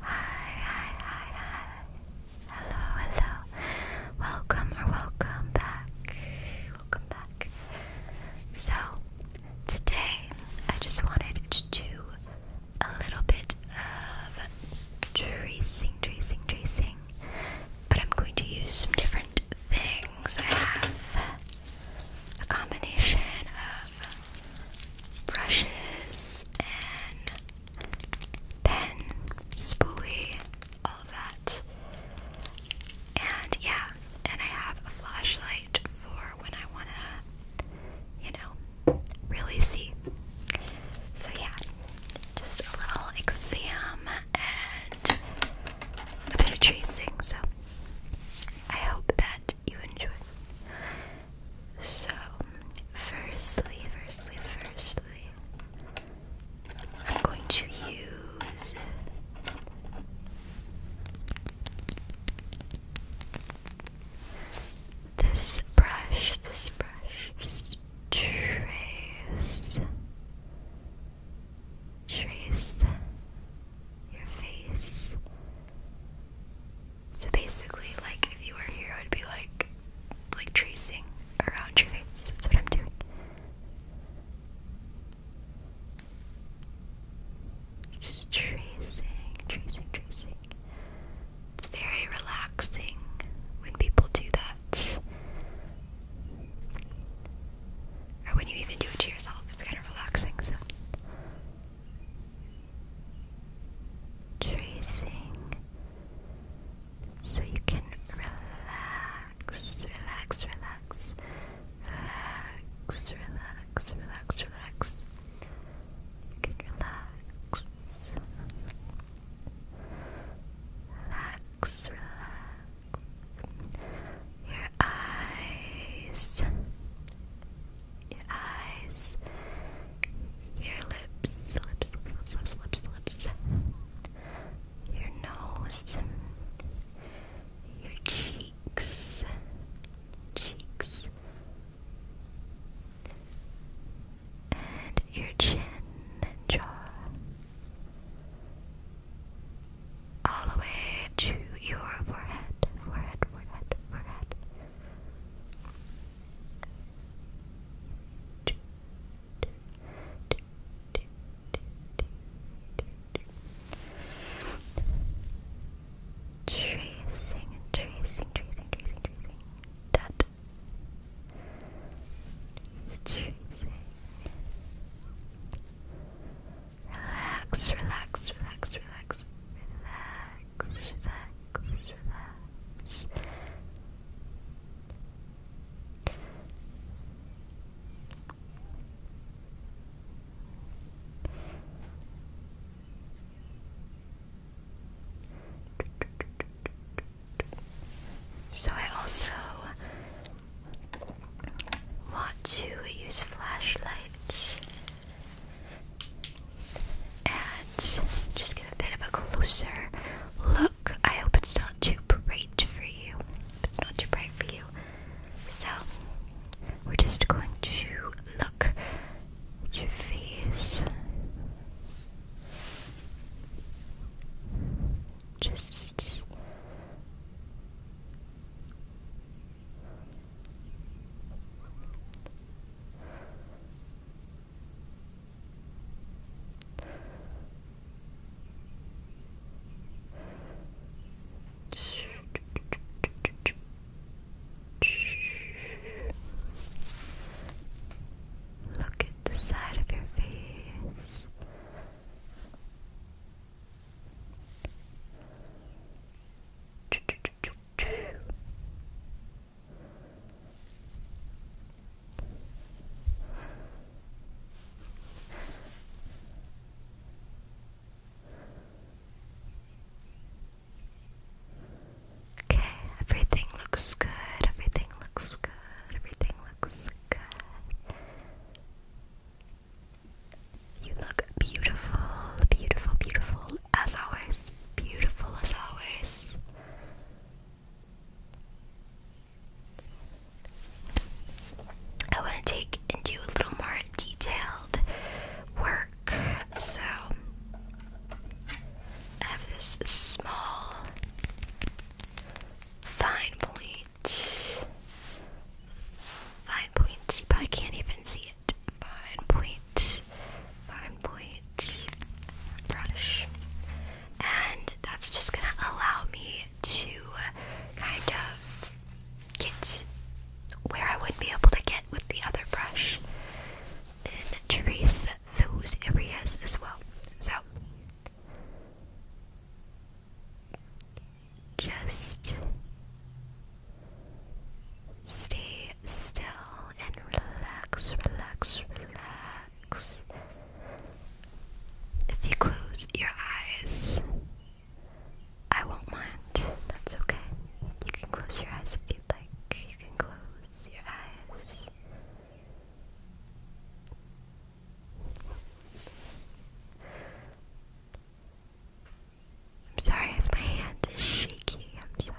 Hi, hi, hi, hi. Hello, hello. Welcome or welcome back. Welcome back. So, today I just wanted to do a little bit of tracing, tracing, tracing. But I'm going to use some different things. I have a combination of brushes and pen, spoolie, all that. And yeah, and I have a flashlight for when I want to, you know, really see. So yeah, just a little exam and a bit of tracing. So I hope that you enjoy. So, firstly, firstly, firstly, I'm going to use this brush, this brush, just trace, trace your face so basically, like if you were here, I would be like, like tracing around your face. That's what I'm doing. Just tracing, tracing, tracing. It's very relaxing when people do that. Or when you even do it to yourself, it's kind of relaxing, so tracing so you can relax, relax, relax, relax, relax, relax, relax. You can relax. Relax, relax. Your eyes your eyes, your lips, lips, lips, lips, lips, lips, your nose, your cheeks, cheeks, and your chin and jaw. All the way to your forehead, forehead, forehead, forehead. Tracing, tracing, tracing, tracing, tracing. Dot. Tracing. Relax, relax, relax, relax, relax relax, relax, So, I also want to use flashlights. And just get a bit of a closer look. I hope it's not too bright for you. It's not too bright for you. So we're just going to look at your face. Just Look at the side of your face. Okay, everything looks good, everything looks good, everything looks good. You look beautiful, beautiful, beautiful as always. Beautiful as always. I want to take and do a little more detailed work. So I have this small fine point. Fine points. probably can't even see fine point, fine point brush. And that's just gonna allow me to kind of get where I would be able to get with the other brush and trace those areas as well. So just Stay still and relax, relax, relax. If you close your eyes, I won't mind. That's okay. You can close your eyes if you'd like. You can close your eyes. I'm sorry if my hand is shaky. I'm sorry.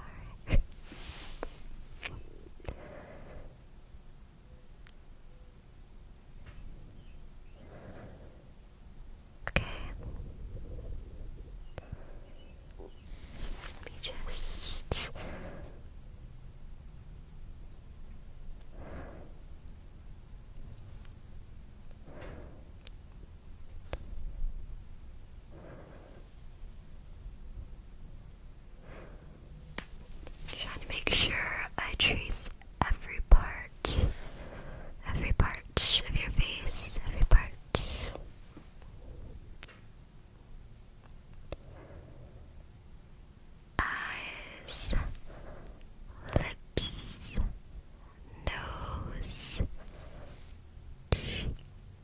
okay. Let me just. Trying to make sure I trace every part, every part of your face, every part. Eyes, lips, nose,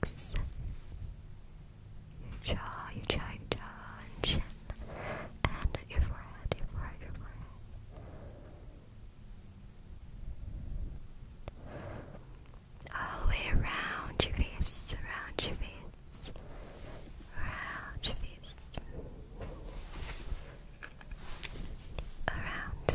cheeks, your jaw, your jaw, your jaw, and chin, and your forehead, your forehead, your forehead. All the way around your face, around your face, around your face. Around,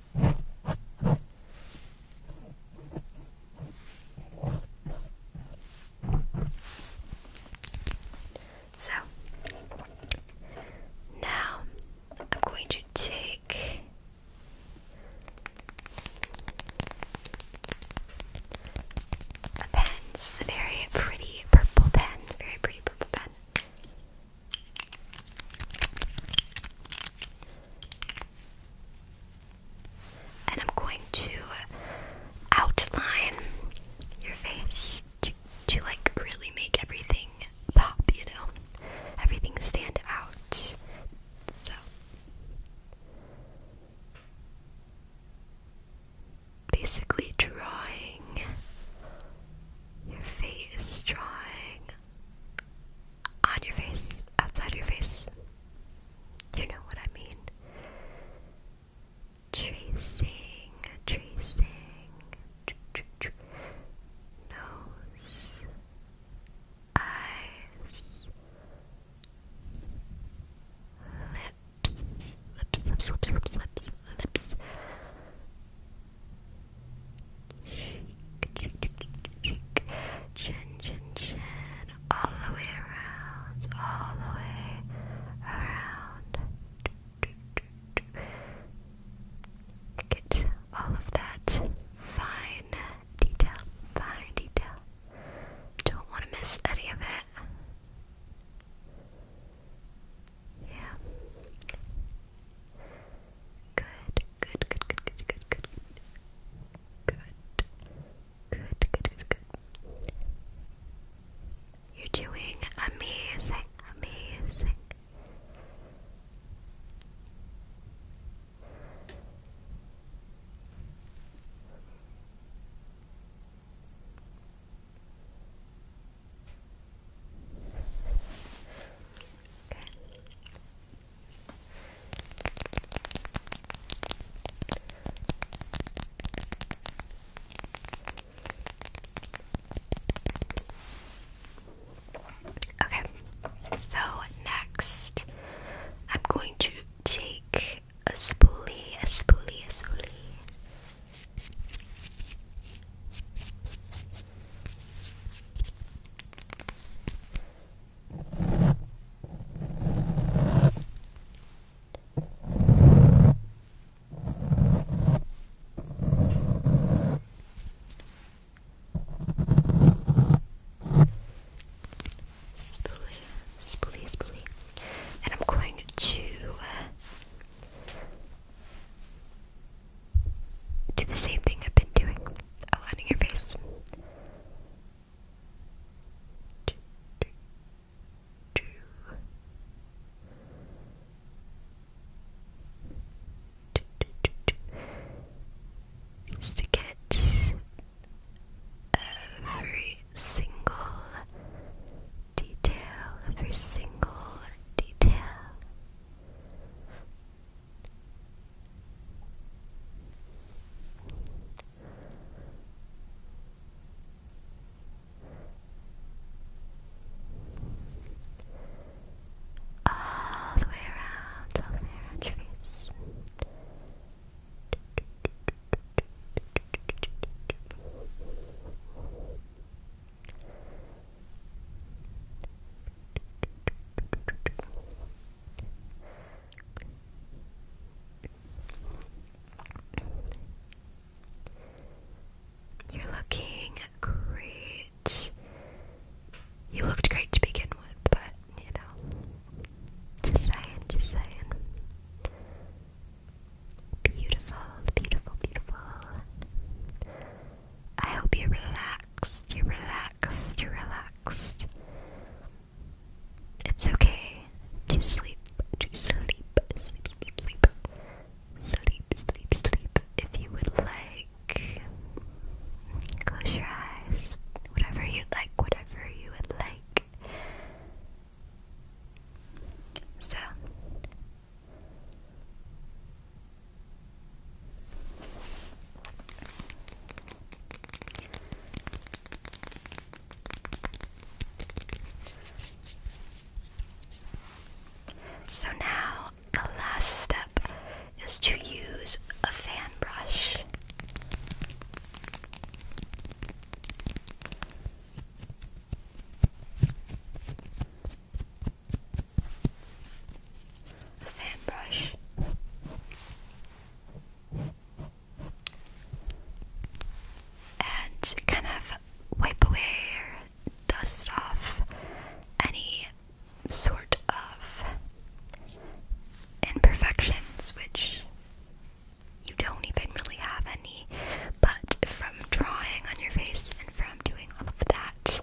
So now I'm going to take a pen. This a very pretty purple pen, very pretty purple pen. And I'm going to outline your face to, to like really make everything pop, you know? Everything stand out. So. Basically, drawing your face, drawing on your face, outside your face. You know what I mean. Tracing, tracing, nose, eyes, lips, lips, lips, lips, lips, lips, cheek, chin, chin, chin, all the way around, all the way around. Get all of that fine detail, fine detail. Don't want to miss any of it. Yeah. Good, good, good, good, good, good, good, good, good, good, good, good, good. You're doing amazing, amazing. Okay. Okay, so next I'm going to take a spoolie, a spoolie, a spoolie. Spoolie, spoolie, spoolie. And I'm going to uh, do the same thing I've been doing. Aligning your face. Just to get every single detail, every single detail. All the way around, all the way around your face. You're looking great. You looked great to begin with, but you know, just saying, just saying. Beautiful, beautiful, beautiful. I hope you're relaxed, you're relaxed, you're relaxed. It's okay to sleep, to sleep, sleep, sleep, sleep, sleep, sleep, sleep. If you would like, close your eyes. Whatever you like, whatever you would like. So, so now the last step is to use a fan brush a fan brush. And kind of wipe away dust off any sort of imperfections, which you don't even really have any, but from drawing on your face and from doing all of that,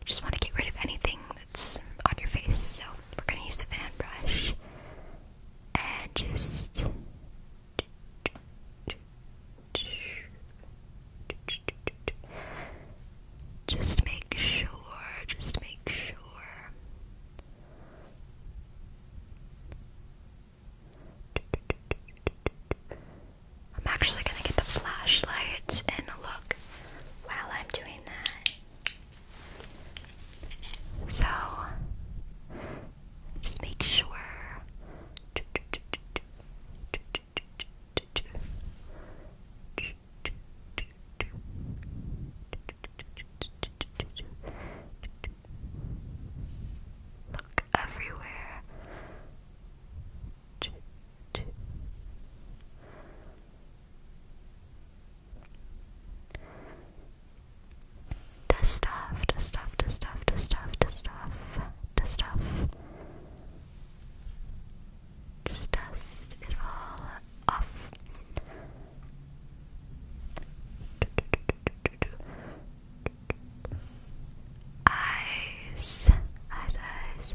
you just want to get rid of anything that's on your face. So we're gonna use the fan brush and just. Just make sure, just make sure. I'm actually gonna get the flashlight and look while I'm doing that. So, just make sure. Look everywhere ch dust stuff, dust stuff, dust stuff, dust stuff, dust stuff, dust stuff. Just dust it all off. Eyes, eyes, eyes,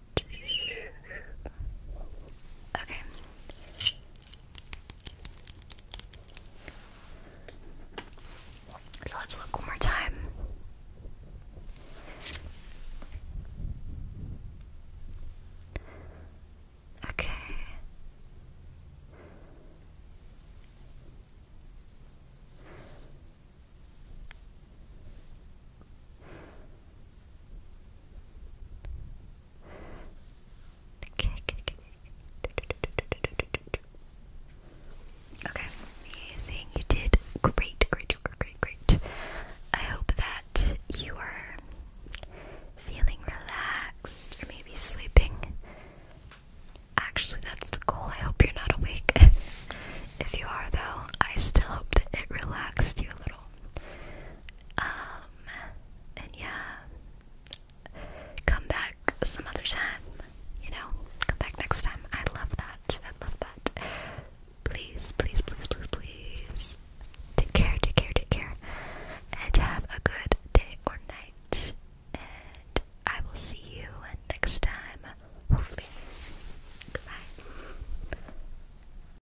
Okay. So let's look one more time. Okay. Okay, amazing. You did great, great, great, great. I hope that you are feeling relaxed or maybe sleeping. Actually, that's the goal. I hope you're not awake. if you are, though, I still hope that it relaxed you a little. Um, and yeah, come back some other time, you know, come back next time. I love that. I love that. Please, please, please, please, please take care, take care, take care, and have a good day or night. And I will see you next time, hopefully. Goodbye.